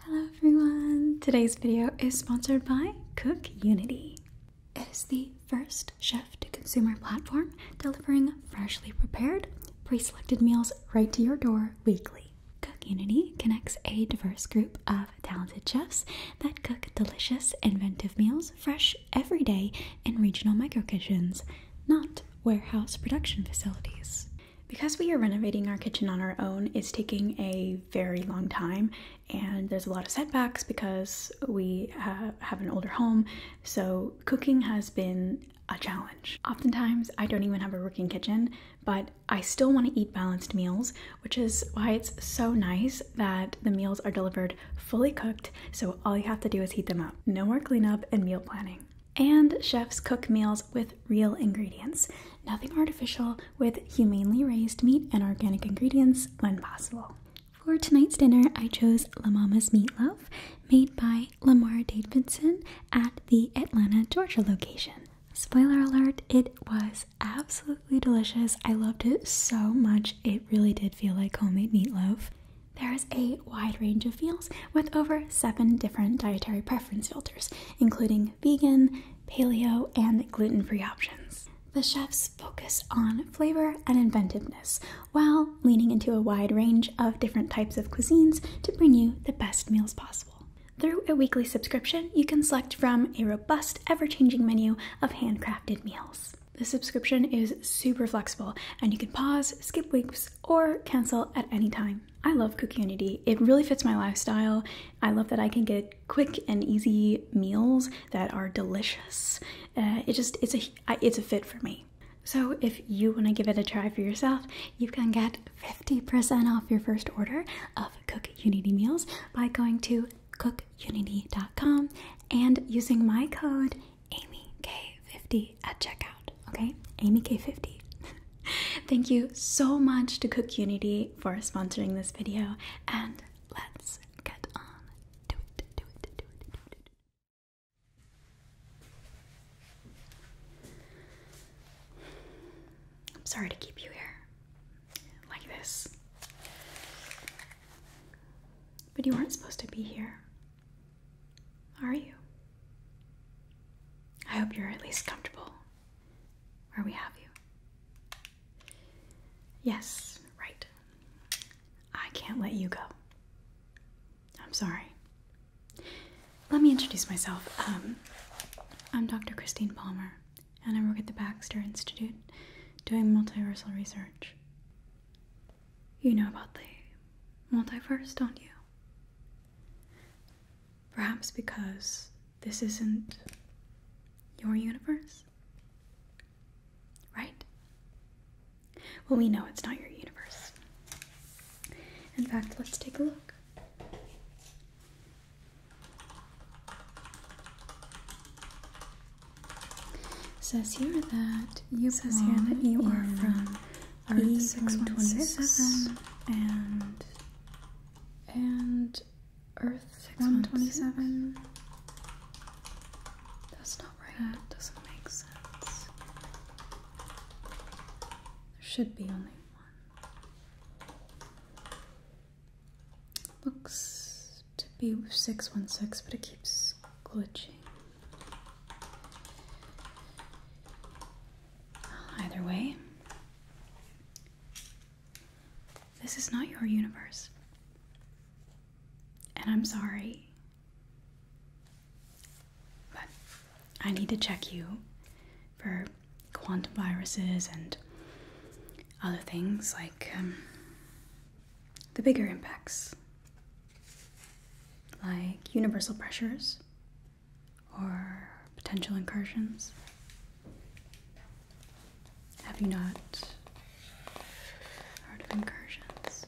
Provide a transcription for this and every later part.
Hello everyone! Today's video is sponsored by Cook Unity. It is the first chef to consumer platform delivering freshly prepared, pre selected meals right to your door weekly. Cook Unity connects a diverse group of talented chefs that cook delicious, inventive meals fresh every day in regional micro kitchens, not warehouse production facilities. Because we are renovating our kitchen on our own, it's taking a very long time, and there's a lot of setbacks because we have an older home, so cooking has been a challenge. Oftentimes, I don't even have a working kitchen, but I still want to eat balanced meals, which is why it's so nice that the meals are delivered fully cooked, so all you have to do is heat them up. No more cleanup and meal planning. And chefs cook meals with real ingredients. Nothing artificial with humanely raised meat and organic ingredients when possible. For tonight's dinner, I chose La Mama's Meatloaf, made by Lamar Davidson at the Atlanta, Georgia location. Spoiler alert, it was absolutely delicious. I loved it so much. It really did feel like homemade meatloaf. There is a wide range of meals with over seven different dietary preference filters, including vegan, paleo, and gluten free options. The chefs focus on flavor and inventiveness while leaning into a wide range of different types of cuisines to bring you the best meals possible. Through a weekly subscription, you can select from a robust, ever changing menu of handcrafted meals. The subscription is super flexible and you can pause, skip weeks, or cancel at any time. I love Cookunity. It really fits my lifestyle. I love that I can get quick and easy meals that are delicious. Uh, it just it's a it's a fit for me. So if you want to give it a try for yourself, you can get 50% off your first order of Cookunity meals by going to cookunity.com and using my code AmyK50 at checkout. Okay, AmyK50. Thank you so much to Cook Unity for sponsoring this video, and let's get on to it. Do it, do it, do it, do it, do it. I'm sorry to keep you here like this, but you aren't supposed to be here, are you? I hope you're at least comfortable where we have you. Yes, right. I can't let you go. I'm sorry. Let me introduce myself. Um, I'm Dr. Christine Palmer, and I work at the Baxter Institute doing multiversal research. You know about the multiverse, don't you? Perhaps because this isn't your universe? Right? Well, we know it's not your universe. In fact, let's take a look. It says here that you says here that you are from Earth 617 and and Earth 127. That's not right. That doesn't make sense. There should be only one. Looks to be 616, but it keeps glitching. Either way, this is not your universe. And I'm sorry. But I need to check you for quantum viruses and other things like um, the bigger impacts, like universal pressures or potential incursions? Have you not heard of incursions?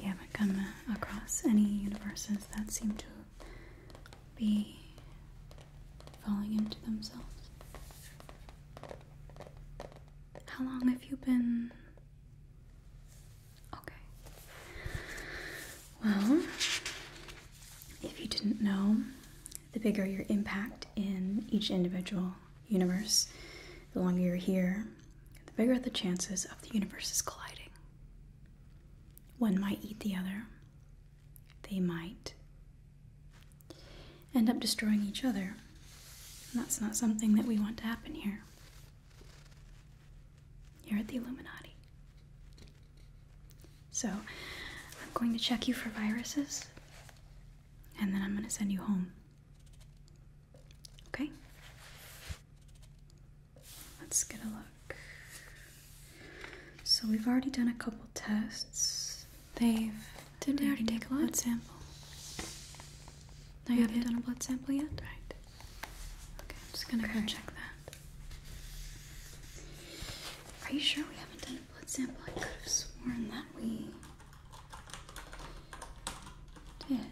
You haven't come across any universes that seem to be falling into themselves? How long have you been Okay. Well, if you didn't know, the bigger your impact in each individual universe, the longer you're here, the bigger the chances of the universes colliding. One might eat the other, they might end up destroying each other. And that's not something that we want to happen here. Here at the Illuminati. So, I'm going to check you for viruses and then I'm going to send you home. Okay? Let's get a look. So, we've already done a couple tests. They've. Did they take a blood sample? No, you haven't done a blood sample yet? Right. Okay, I'm just gonna go check that. Are you sure we haven't done a blood sample? I could have sworn that we did.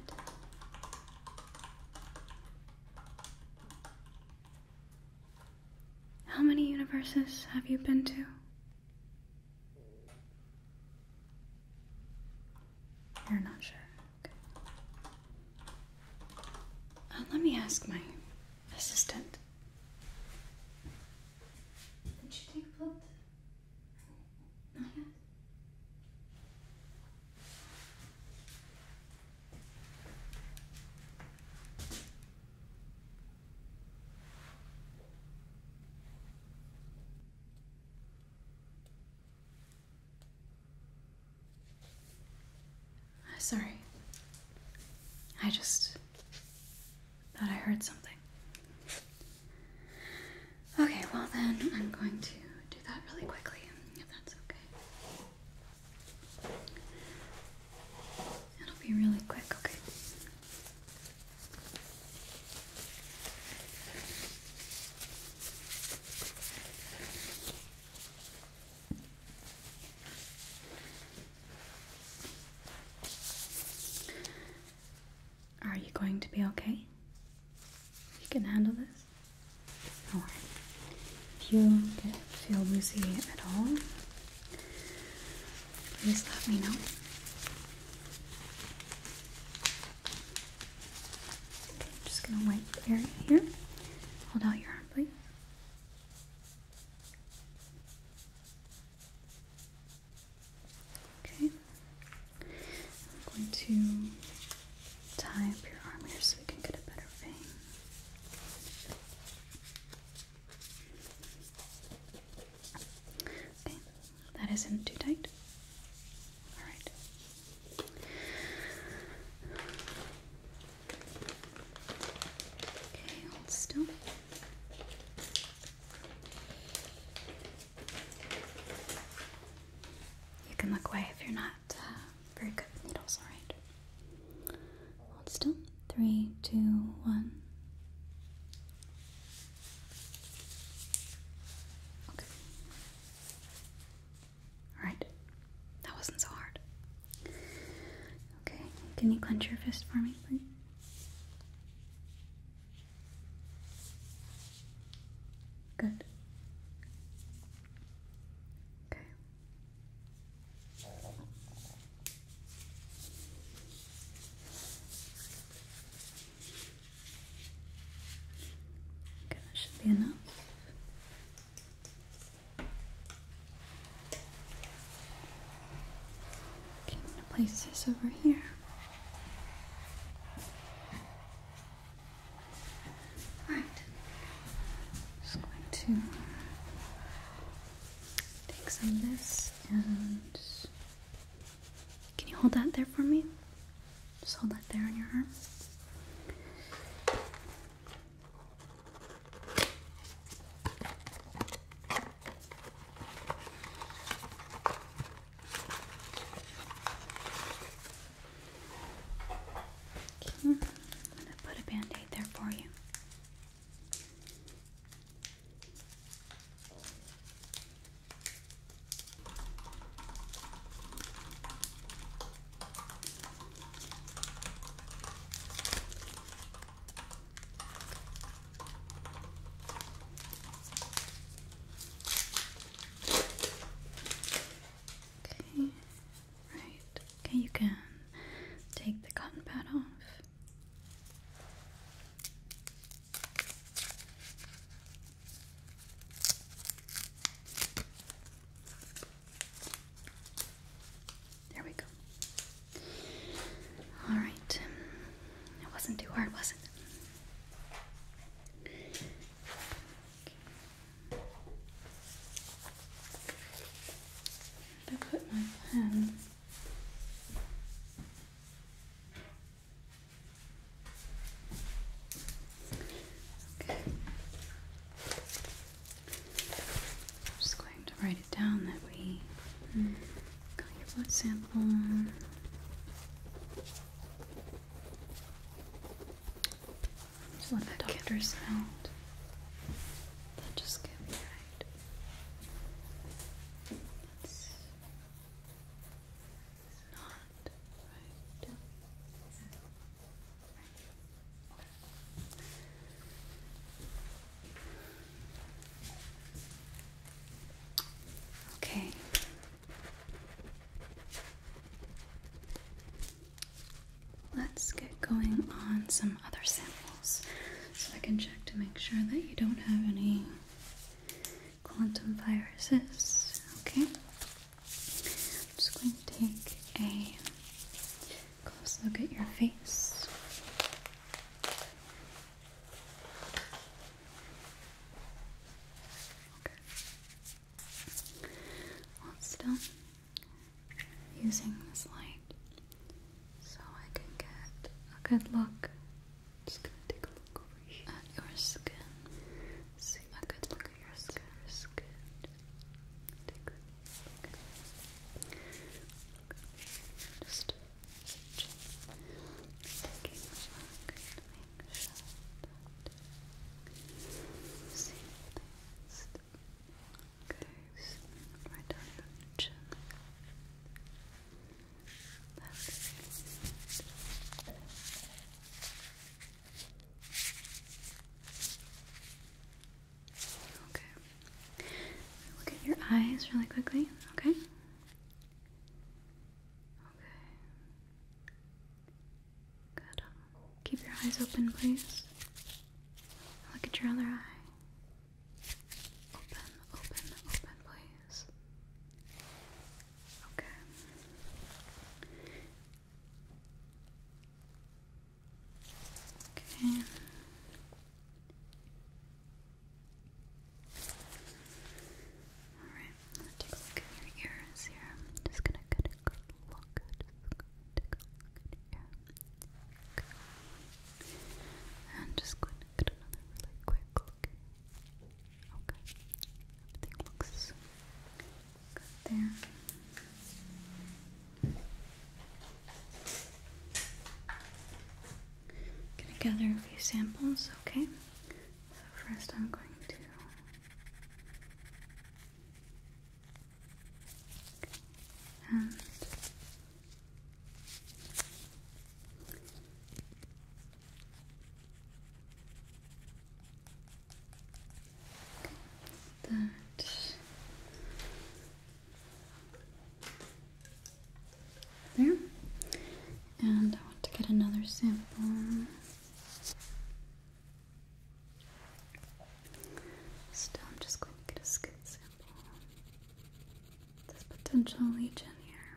How many universes have you been to? You're not sure. Uh, let me ask my assistant. Did she take blood? Not yet. Sorry. I just thought I heard something. Okay, well then I'm going to do that really quickly, if that's okay. It'll be really quick, okay? Are you going to be okay? You can handle this? If you feel woozy at all, please let me know. Okay, I'm just gonna wipe the area here. Hold out your arm, please. Okay. I'm going to tie up your arm here so we can get a better vein. Okay, that isn't too tight. All right. Okay, hold still. You can look away if you're not uh, very good with needles, alright? Hold still. Three, two, one. Okay. Alright. That wasn't so hard. Okay, can you clench your fist for me, please? Good. Okay. Okay, that should be enough. I'm gonna place this over here. Alright. Just going to take some of this and can you hold that there for me? Just hold that there on your arm. I'm gonna put a band-aid there for you. Okay, right. Okay, you can take the cotton pad off. There we go. All right. It wasn't too hard, was it? Okay. I put my pen. I'm just going to write it down that we got your blood sample. doctor sound. That just get me right. That's not right. Okay. Let's get going on some other samples so I can check to make sure that you don't have any quantum viruses. Okay. I'm just going to take a close look at your face. Okay. still using this light so I can get a good look. Just gonna take a look over here at your skin. See a good look your skin, skin. Tickle, tickle. Just such taking making sure that you see this right down your chin. That's Okay. Look at your eyes really quickly, okay? Okay. Good. Keep your eyes open, please. Look at your other eye. Open, open, open, please. Okay. Okay. All right, let's take a look at your ears here. just gonna get a look. Just a look at Okay. And just going to get another really quick look. Okay. Everything looks Good there. I'm gonna gather a few samples, okay? So first I'm going to that there and I want to get another sample so I'm just going to get a skin sample there's potential leech in here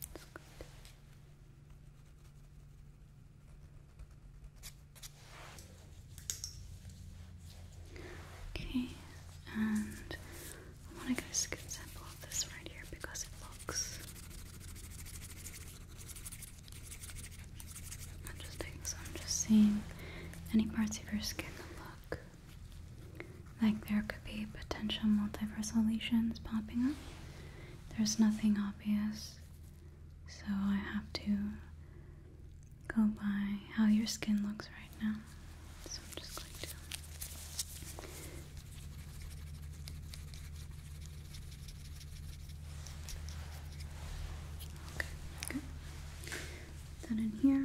that's Okay, and I want to get a sample of this right here because it looks. i so I'm just seeing any parts of your skin that look like there could be potential multiversal lesions popping up. There's nothing obvious, so I have to go by how your skin looks right now. So I'm just going to. Okay, Then in here,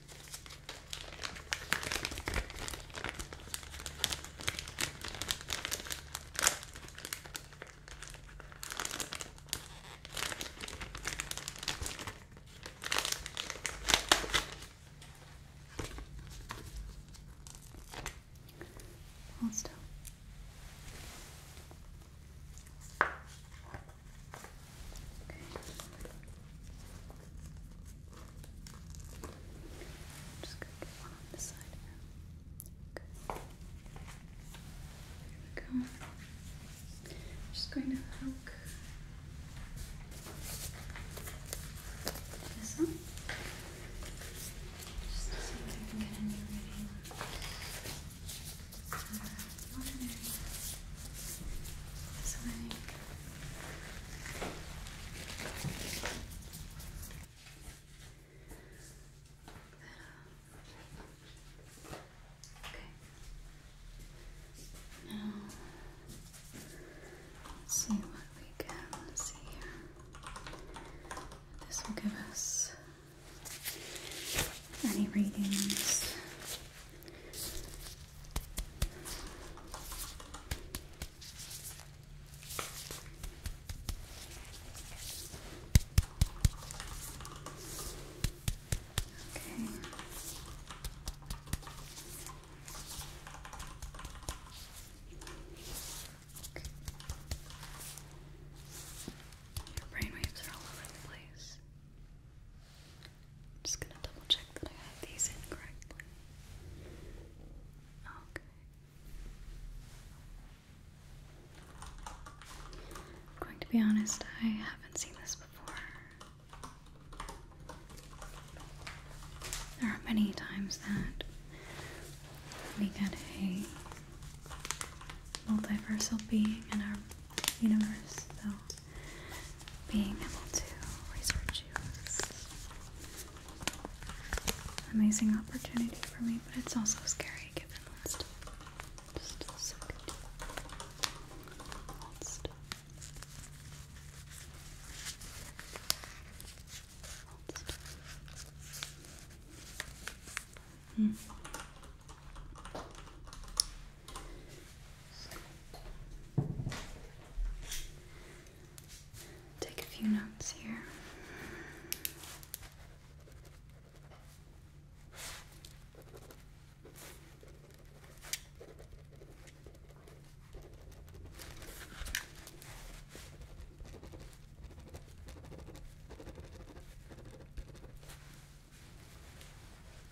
Hold still. Okay. Good just gonna get on this side here. we go. just going to hook this up. Just to I can get any reading. Out of Okay. Now let's see what we can see here. This will give us any readings Okay. Okay. Your brainwaves are all over the place. I'm just gonna double check that I have these in correctly. Okay. i going to be honest, I haven't seen this before. There are many times that we get a multiversal being in our universe, though being able to research you is an amazing opportunity for me, but it's also scary given what's Take a few notes here.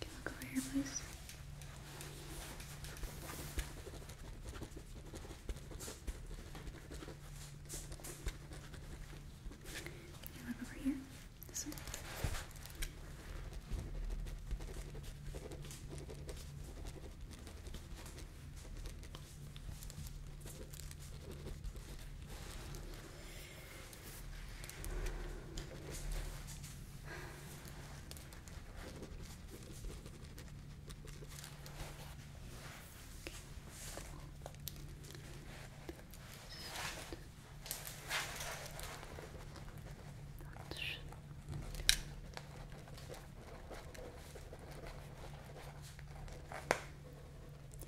Can you look over here, please? Can you look over here? This one?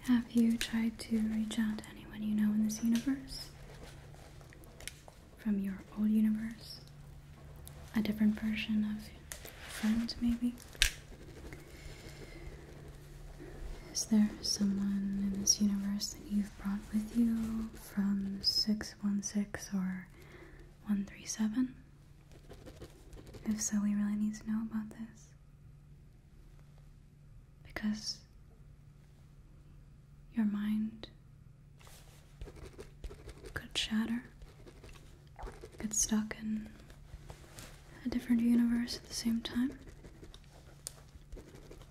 have you tried to reach out to anyone you know in this universe? from your old universe, a different version of a friend, maybe. Is there someone in this universe that you've brought with you from 616 or 137? If so, we really need to know about this. Because your mind could shatter, get stuck in a different universe at the same time,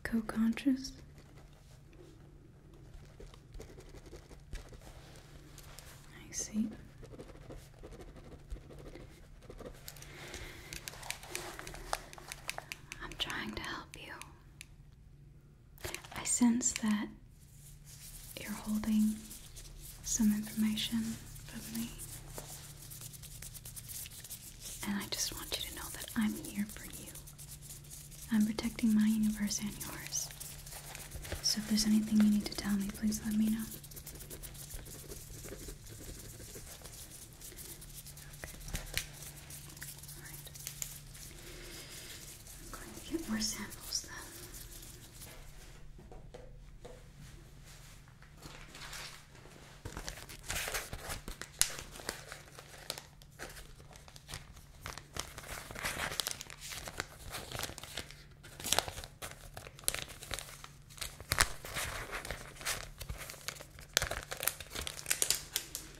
co conscious. I see. I'm trying to help you. I sense that you're holding some information from me. And I just want you to know that I'm here for you. I'm protecting my universe and yours. So if there's anything you need to tell me, please let me know. I'm going to get more samples then.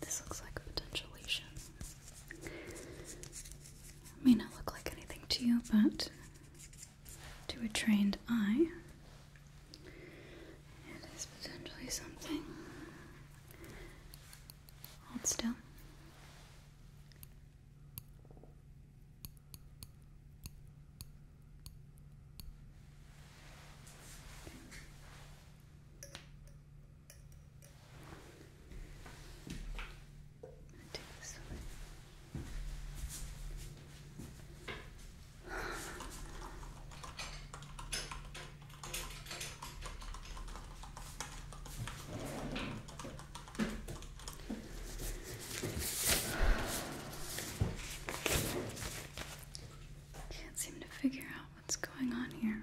This looks like a potential lesion. It may not look like anything to you, but to a trained eye, it is potentially something. Hold still do this one. Can't seem to figure out what's going on here.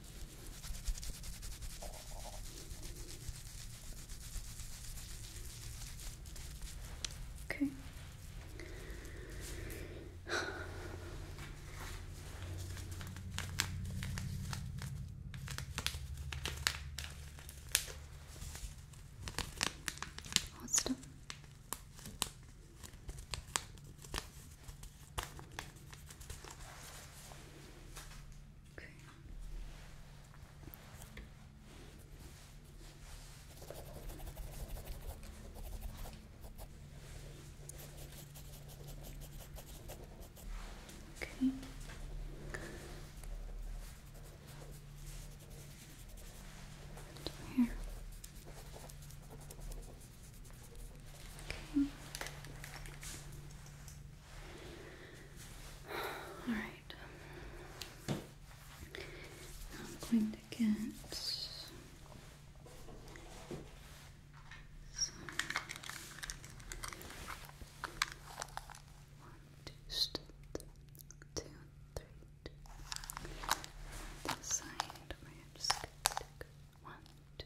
Okay. Awesome. Okay. Okay. Here. Okay. All right. I'm going to get one, two, two, three, two. This side, one, two,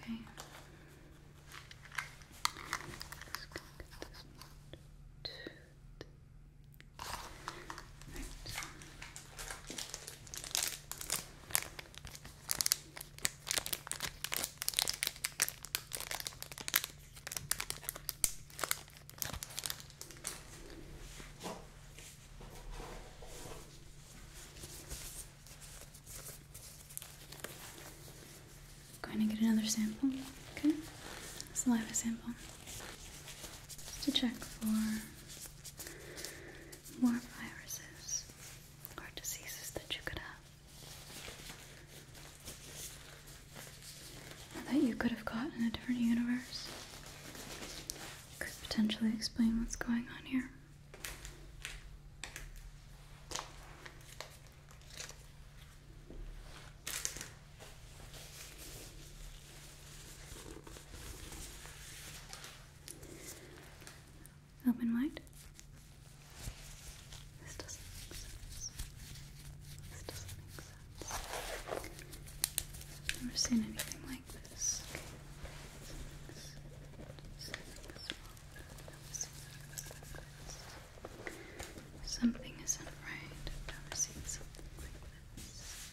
Okay. Let's go get this one. Right. Going to get another sample, okay? Saliva sample. Just to check for more viruses or diseases that you could have. That you could have caught in a different universe. Could potentially explain what's going on here. Open wide. This doesn't make sense. This doesn't make sense. never seen anything like this. Something isn't right. I've never seen something like this.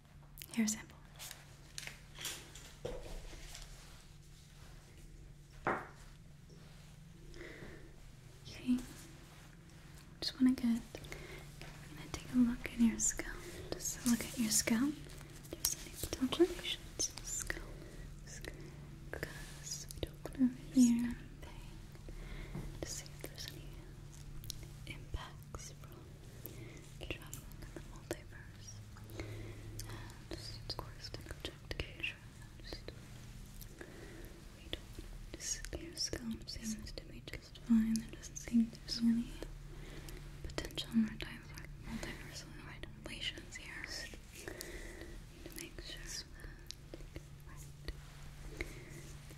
Hair sample. Okay. Just want to get. gonna take a look at your scalp. Just look at your scalp. There's any potential patients. Scalp. Because To see if there's any impacts from traveling in the multiverse, and of course to project Keisha, and we don't want seems to be just fine, there doesn't seem there's any potential multiversal relations here, need to make sure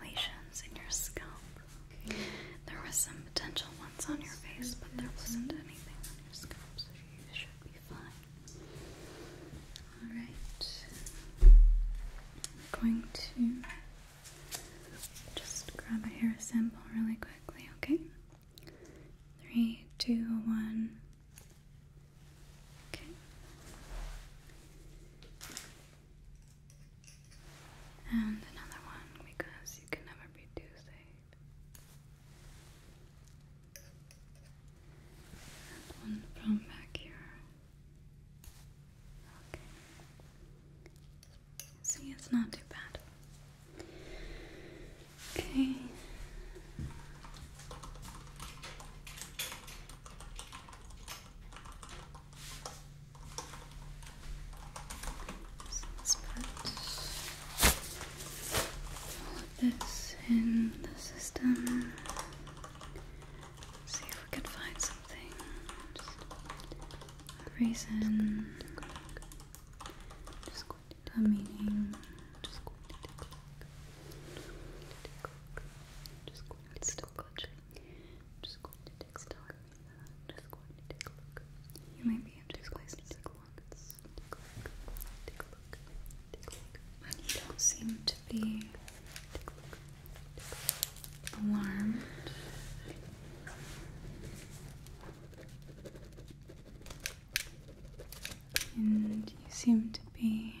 lesions in your scalp. There was some potential ones on your face, but there wasn't anything on your scalp, so you should be fine. Alright. I'm going to just grab a hair sample really quickly, okay? Three, two, one. Okay. And another one because you can never be too safe. And one from back here. Okay. See, it's not too bad. Okay let's put this in the system. See if we could find something. reason. Just going to a meaning. Just going to take a look. Just going to take a look. Just going to just going to take a look. You might be in two a look. Take a look. Take a look. Take a look. you don't seem to be alarmed. And you seem to be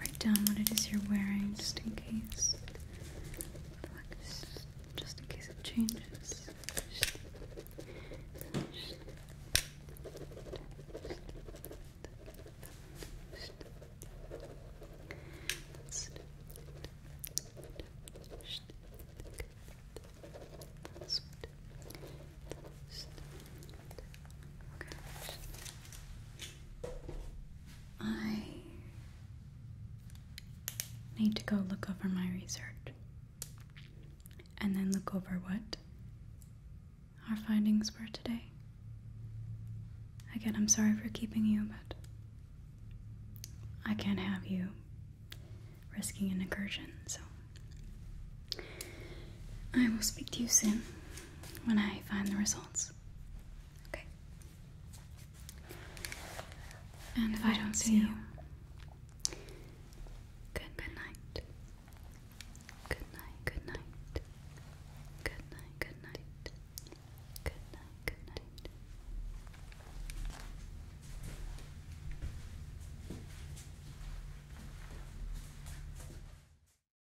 Write down what it is you're wearing just in case. Just in case it changes. I need to go look over my research. And then look over what our findings were today. Again, I'm sorry for keeping you, but I can't have you risking an incursion, so. I will speak to you soon when I find the results. Okay. And if I don't see you, good Good night, good night. Good night, good night. Good night, good night.